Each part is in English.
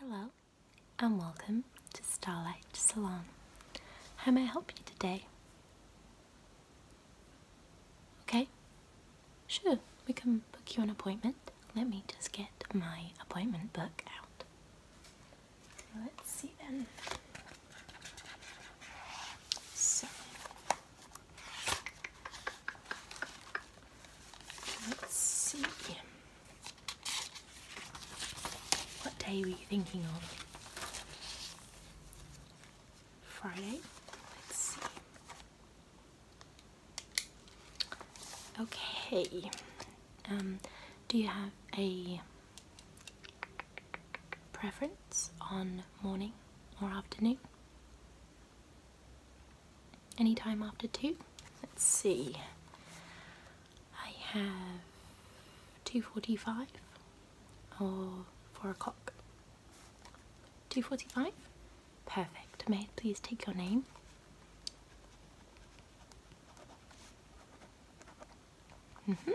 Hello and welcome to Starlight Salon. How may I help you today? Okay? Sure, we can book you an appointment. Let me just get my appointment book out. Let's see then. So, let's see. What day were you thinking of? Friday. Let's see. Okay. Um, do you have a preference on morning or afternoon? Any time after two? Let's see. I have two forty-five or oh, four o'clock? 2.45? Perfect. May I please take your name? Mm-hmm.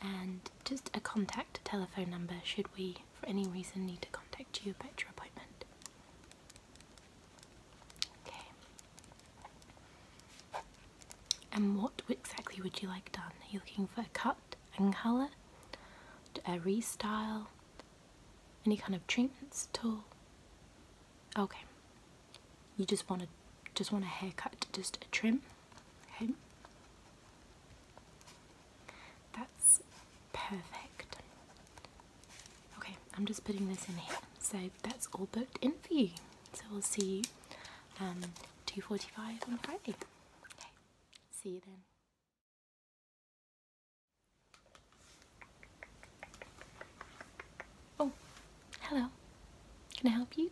And just a contact telephone number should we, for any reason, need to contact you about your appointment. Okay. And what exactly would you like done? Are you looking for a cut and colour? A restyle? Any kind of treatments at all? Okay. You just want a just want a haircut, just a trim. Okay. That's perfect. Okay, I'm just putting this in here. So that's all booked in for you. So we'll see you um, 2.45 on Friday. Okay, see you then. Oh, hello. Can I help you?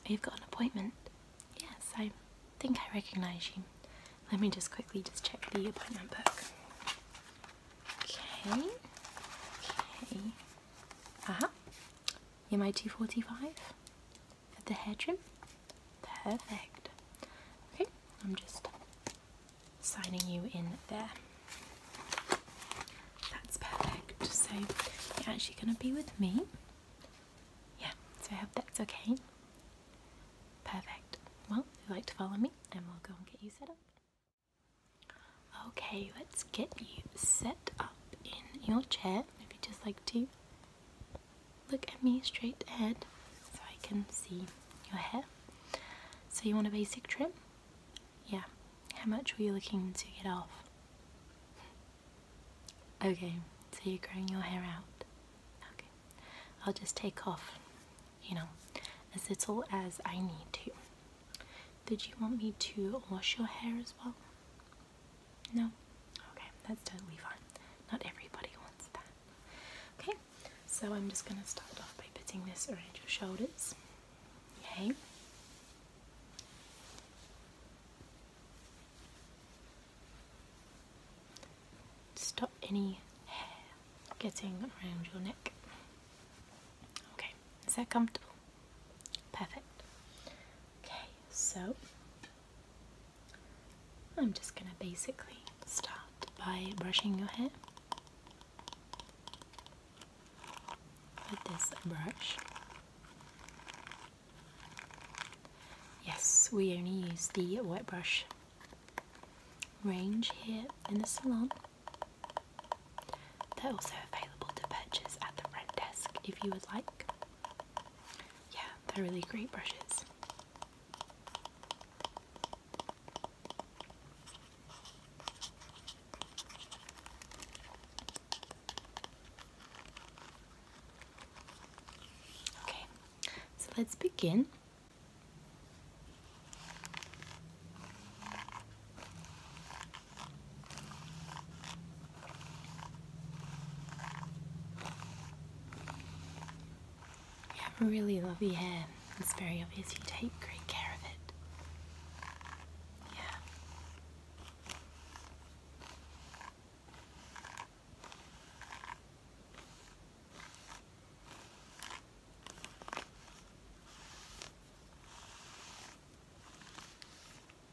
Oh, you've got an appointment? Yes, I think I recognise you. Let me just quickly just check the appointment book. Okay. Okay. uh -huh. MI245 at the hair trim. Perfect. Okay, I'm just signing you in there. That's perfect. So you're actually going to be with me. Yeah, so I hope that's okay. Perfect. Well, if you'd like to follow me, and we'll go and get you set up. Okay, let's get you set up in your chair. Maybe just like to look at me straight ahead so I can see your hair. So, you want a basic trim? Yeah. How much were you looking to get off? Okay, so you're growing your hair out. Okay, I'll just take off, you know, as little as I need to. Did you want me to wash your hair as well? No? Okay, that's totally fine. Not everybody wants that. Okay, so I'm just going to start off by putting this around your shoulders. Okay, Stop any hair getting around your neck. Okay, is that comfortable? Perfect. Okay, so I'm just going to basically start by brushing your hair with this brush. Yes, we only use the wet brush range here in the salon. They're also available to purchase at the rent desk if you would like. Yeah, they're really great brushes. Okay, so let's begin. You have really lovely hair. It's very obvious you take great care of it. Yeah.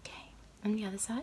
Okay, and the other side.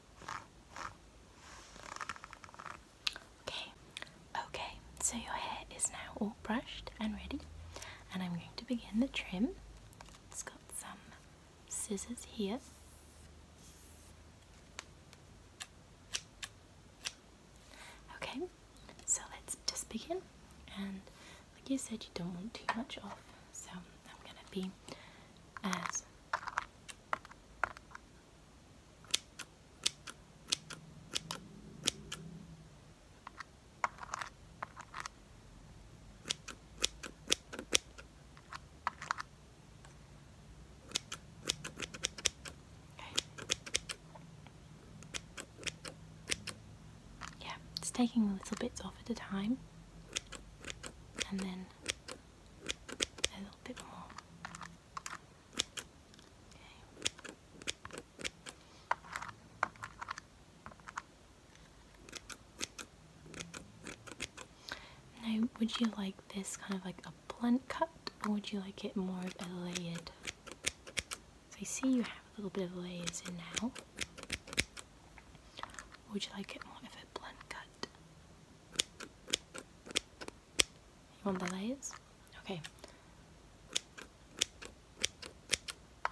Okay, okay, so your hair is now all brushed and ready, and I'm going to begin the trim. It's got some scissors here. Okay, so let's just begin. And like you said, you don't want too much off, so I'm gonna be as yeah, it's taking little bits off at a time and then now, would you like this kind of like a blunt cut, or would you like it more of a layered? I see you have a little bit of layers in now. would you like it more of a blunt cut? You want the lights? Okay.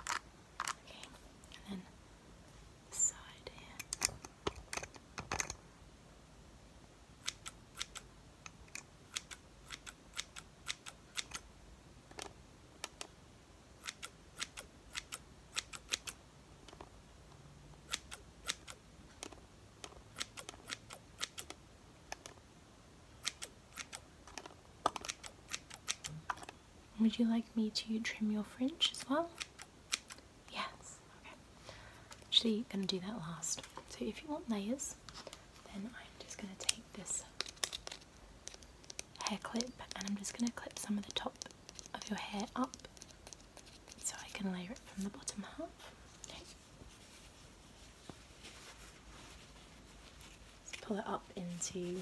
Okay, and then side here. Would you like me to trim your fringe as well? Yes. Okay. Actually, gonna do that last. So if you want layers, then I'm just gonna take this hair clip and I'm just gonna clip some of the top of your hair up so I can layer it from the bottom half. pull it up into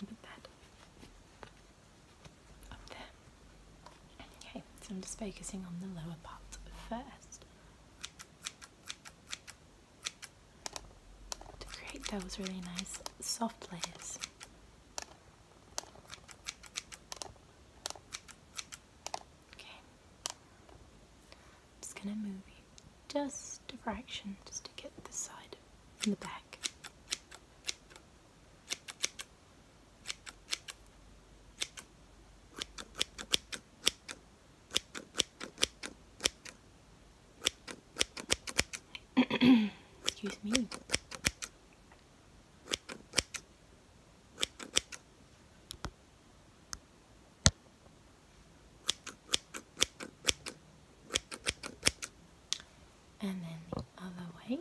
that up there. Okay, so I'm just focusing on the lower part first. To create those really nice soft layers. Okay. just going to move you just a fraction just to get this side from the back. Excuse me. And then the other way.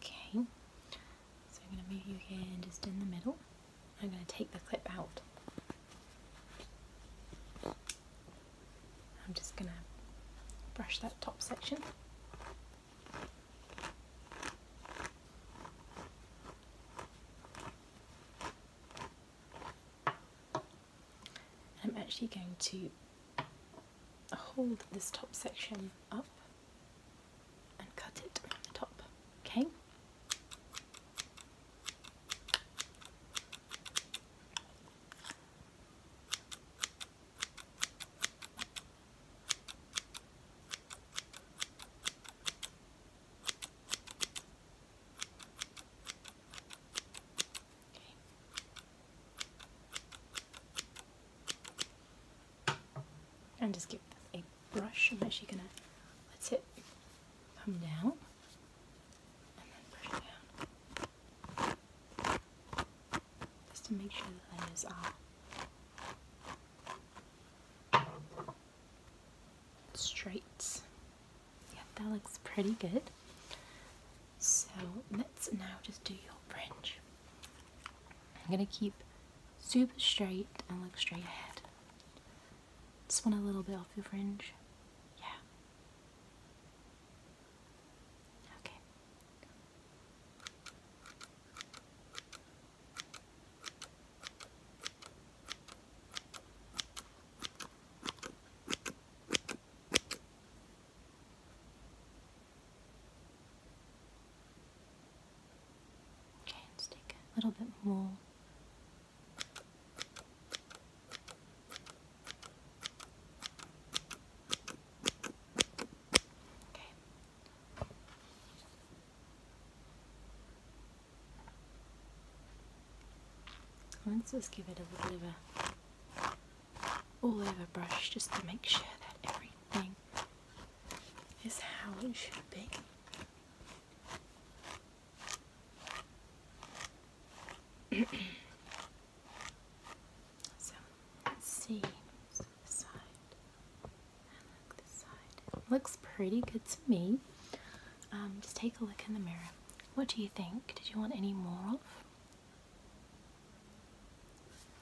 Okay, so I'm going to move you here just in the middle. I'm going to take the clip out. I'm just going to brush that top section. I'm actually going to hold this top section up and cut it from the top, okay? And just give a brush. I'm actually gonna let it come down Just to make sure the layers are straight. Yeah, that looks pretty good. So let's now just do your fringe. I'm gonna keep super straight and look straight ahead. Just one a little bit off your fringe. Yeah. Okay. Okay, let's take a little bit more. Okay. Let's just give it a little bit of a all over brush just to make sure that everything is how it should be. so let's see so this side look this side. looks pretty good to me. Um, just take a look in the mirror what do you think? Did you want any more of?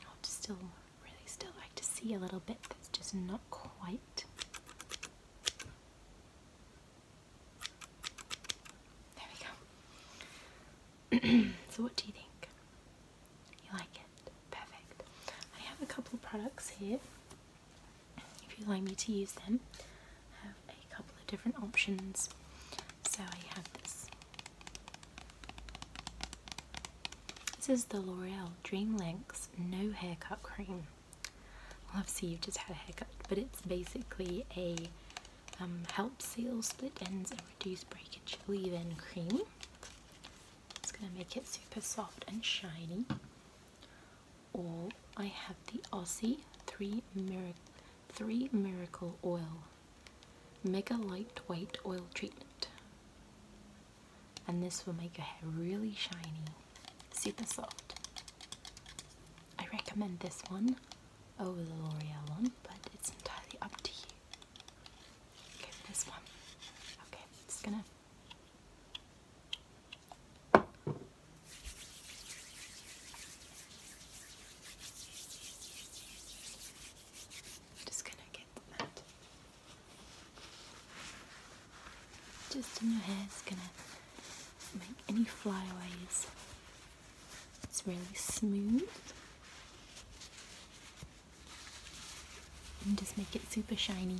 I'd still really still like to see a little bit that's just not quite. There we go. so what do you think? You like it? Perfect. I have a couple of products here if you'd like me to use them. I have a couple of different options. So I have this. This is the L'Oreal Dream Links No Haircut Cream. obviously you've just had a haircut, but it's basically a um, help seal split ends and reduce breakage leave-in cream. It's going to make it super soft and shiny all, I have the Aussie Three, Three Miracle Oil Mega light weight Oil Treatment. And this will make your hair really shiny, super soft. I recommend this one over the L'Oreal one, but it's entirely up to you. Okay, this one. Okay, i gonna just gonna get that just in your hair, it's gonna make any flyaways. It's really smooth. And just make it super shiny.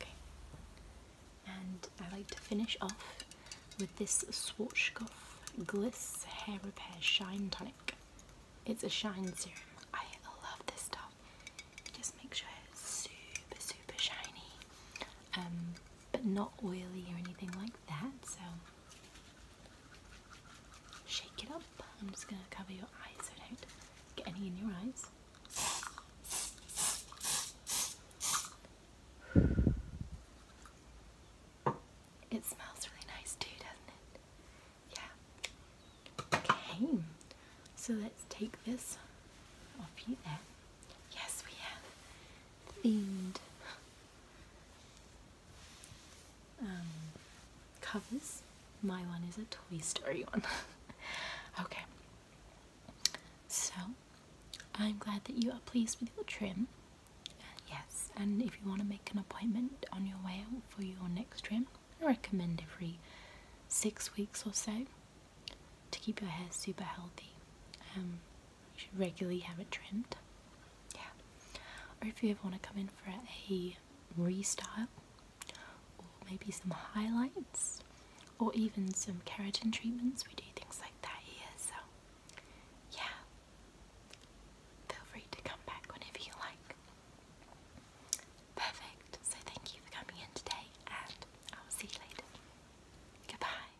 Okay and I like to finish off with this Swatch Goff Gliss Hair Repair Shine Tonic. It's a shine serum. I love this stuff. just makes sure it's super, super shiny, um, but not oily or anything like that. So shake it up. I'm just gonna cover your eyes so don't get any in your eyes. It smells really nice too, doesn't it? Yeah. Okay. So let's take this off you there. Yes, we have themed um, covers. My one is a Toy Story one. okay. So, I'm glad that you are pleased with your trim. yes, and if you want to make an appointment on your way out for your next trim, I recommend every six weeks or so to keep your hair super healthy. Um, you should regularly have it trimmed. Yeah. Or if you ever want to come in for a restyle or maybe some highlights or even some keratin treatments. We do things like that here, so yeah, feel free to come back whenever you like. Perfect, so thank you for coming in today, and I will see you later. Goodbye.